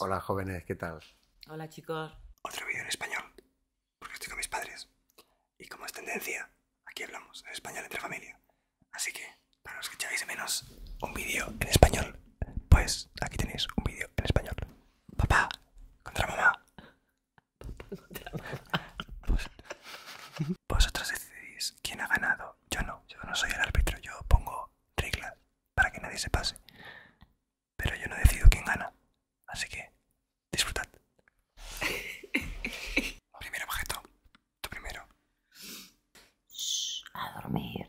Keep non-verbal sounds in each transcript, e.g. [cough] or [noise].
Hola jóvenes, ¿qué tal? Hola chicos. Otro vídeo en español, porque estoy con mis padres. Y como es tendencia, aquí hablamos en español entre familia. Así que, para los que echáis de menos un vídeo en español, pues aquí tenéis un vídeo en español. Papá contra mamá. Papá contra mamá. vosotros decidís quién ha ganado. Yo no, yo no soy el árbitro, yo pongo reglas para que nadie se pase. Pero yo no decido quién gana, así que disfrutad. [laughs] Primer objeto, tú primero. a dormir.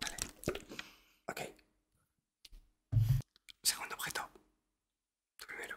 Vale. Ok. Segundo objeto. Tu primero.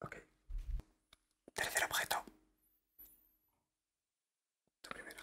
Ok. Tercer objeto. Tu primero.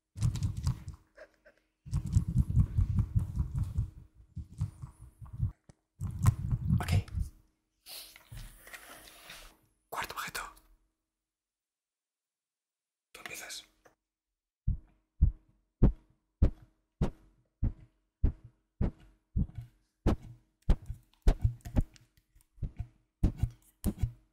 Ok. Cuarto objeto. Tú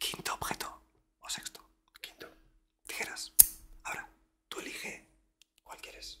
Quinto objeto o sexto, quinto tijeras. Ahora, tú elige cuál quieres.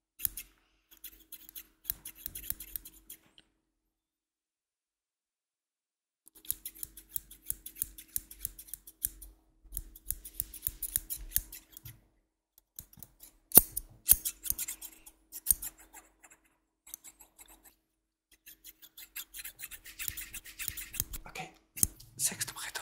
Ok, sexto objeto.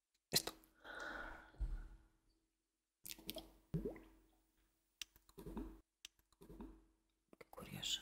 Esto. Qué curioso.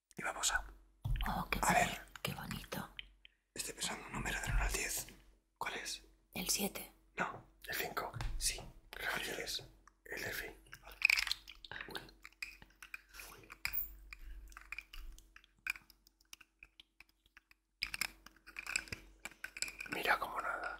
Y vamos a... Oh, qué, a ver. qué bonito. Estoy pensando un número de 1 al 10. ¿Cuál es? El 7. No, el 5. Sí. ¿Cuál es? El F Mira como nada.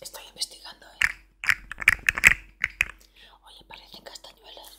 Estoy investigando, ¿eh? Oye, parecen castañuelas.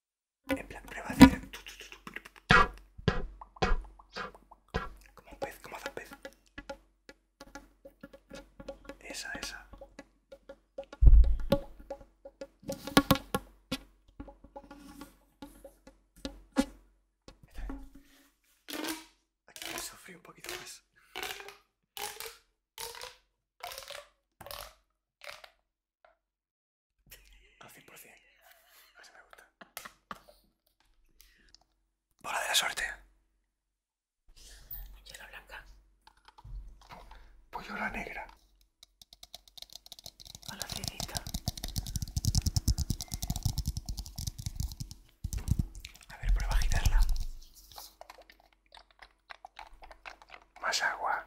En plan, prueba de Como un pez, como hace un pez. Esa, esa. Aquí me un poquito más. Al 100%. Así me gusta. Bola de la suerte. Yo la blanca. Pues la negra. O la A ver, prueba a girarla. Más agua.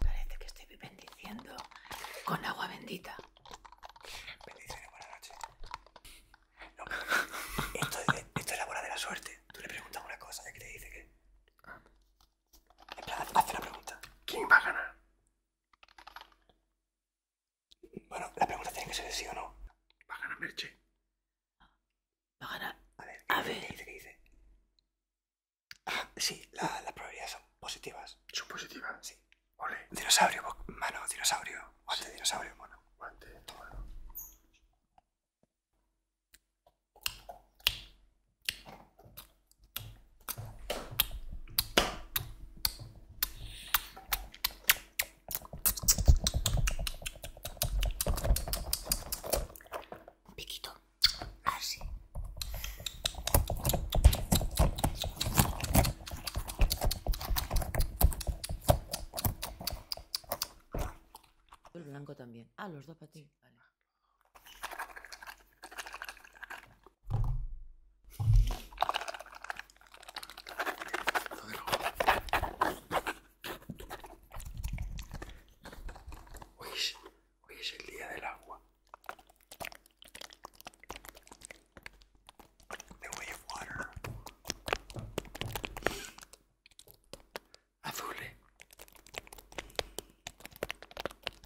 Parece que estoy bendiciendo con agua bendita. Bendiciones, buenas noches. esto, es, la bola de la suerte. Tú le preguntas una cosa y que te dice que. Hace haz la pregunta. ¿Quién va a ganar? Bueno, la pregunta tiene que ser de sí o no. ¿Va a ganar Merche? ¿Va a ganar? A ver, a ver. ¿qué dice? Ah, sí, las probabilidades son positivas. Son positivas. Sí. Ole, Dinosaurio, mano, dinosaurio, guante, dinosaurio, mono. guante, toma. Piquito así el blanco también ah los dos para hoy es el día del agua. The wave water. Eh.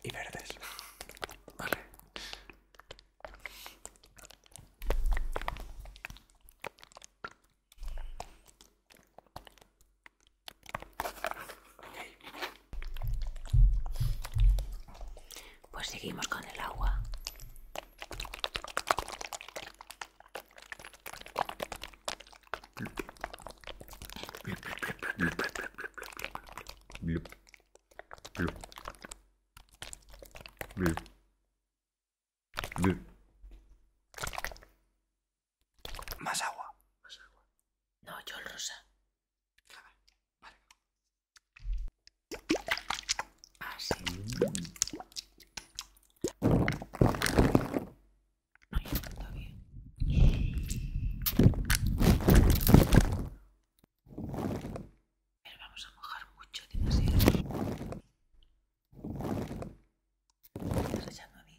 Y verdes. Vale. Pues seguimos con el agua. Más agua. Más agua. No, yo el rosa. Vale. Así. No, está bien. Pero vamos a mojar mucho, demasiado. ¿Me estás echando a mí?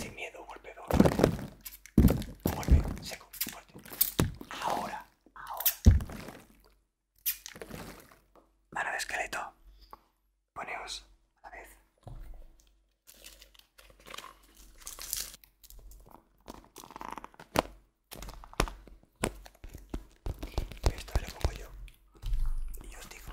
Sin miedo, golpe golpeo, Golpe seco, fuerte. Ahora, ahora. Mano de esqueleto. Poneos a la vez. Esto lo pongo yo. Y yo os digo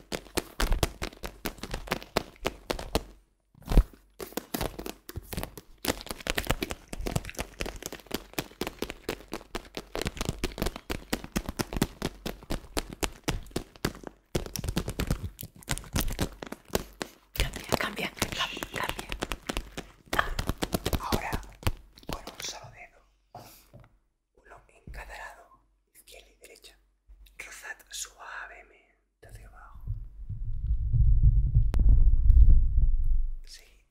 Cambia, cambia, cambia, cambia. Ah, ahora, con un solo dedo uno en cada lado, izquierda y derecha. Rozad suavemente hacia abajo. Seguid.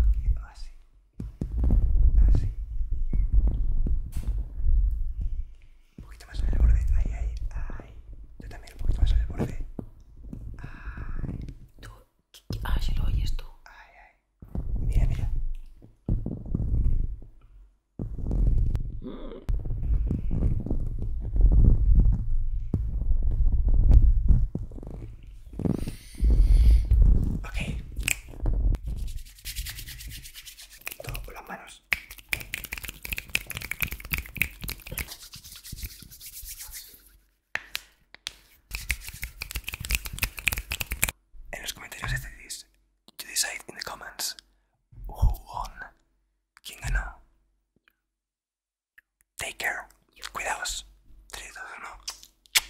Aquí, así. Así. Un poquito más en el borde. Ahí, ahí, ahí. Yo también un poquito más en el borde. Ahí. Tú, ah, si lo oyes tú. Ay, ay. Mira, mira. Okay. Todo con las manos. En los comentarios este decís to decide in the comments who won quién ganó take care cuidaos 3, 2,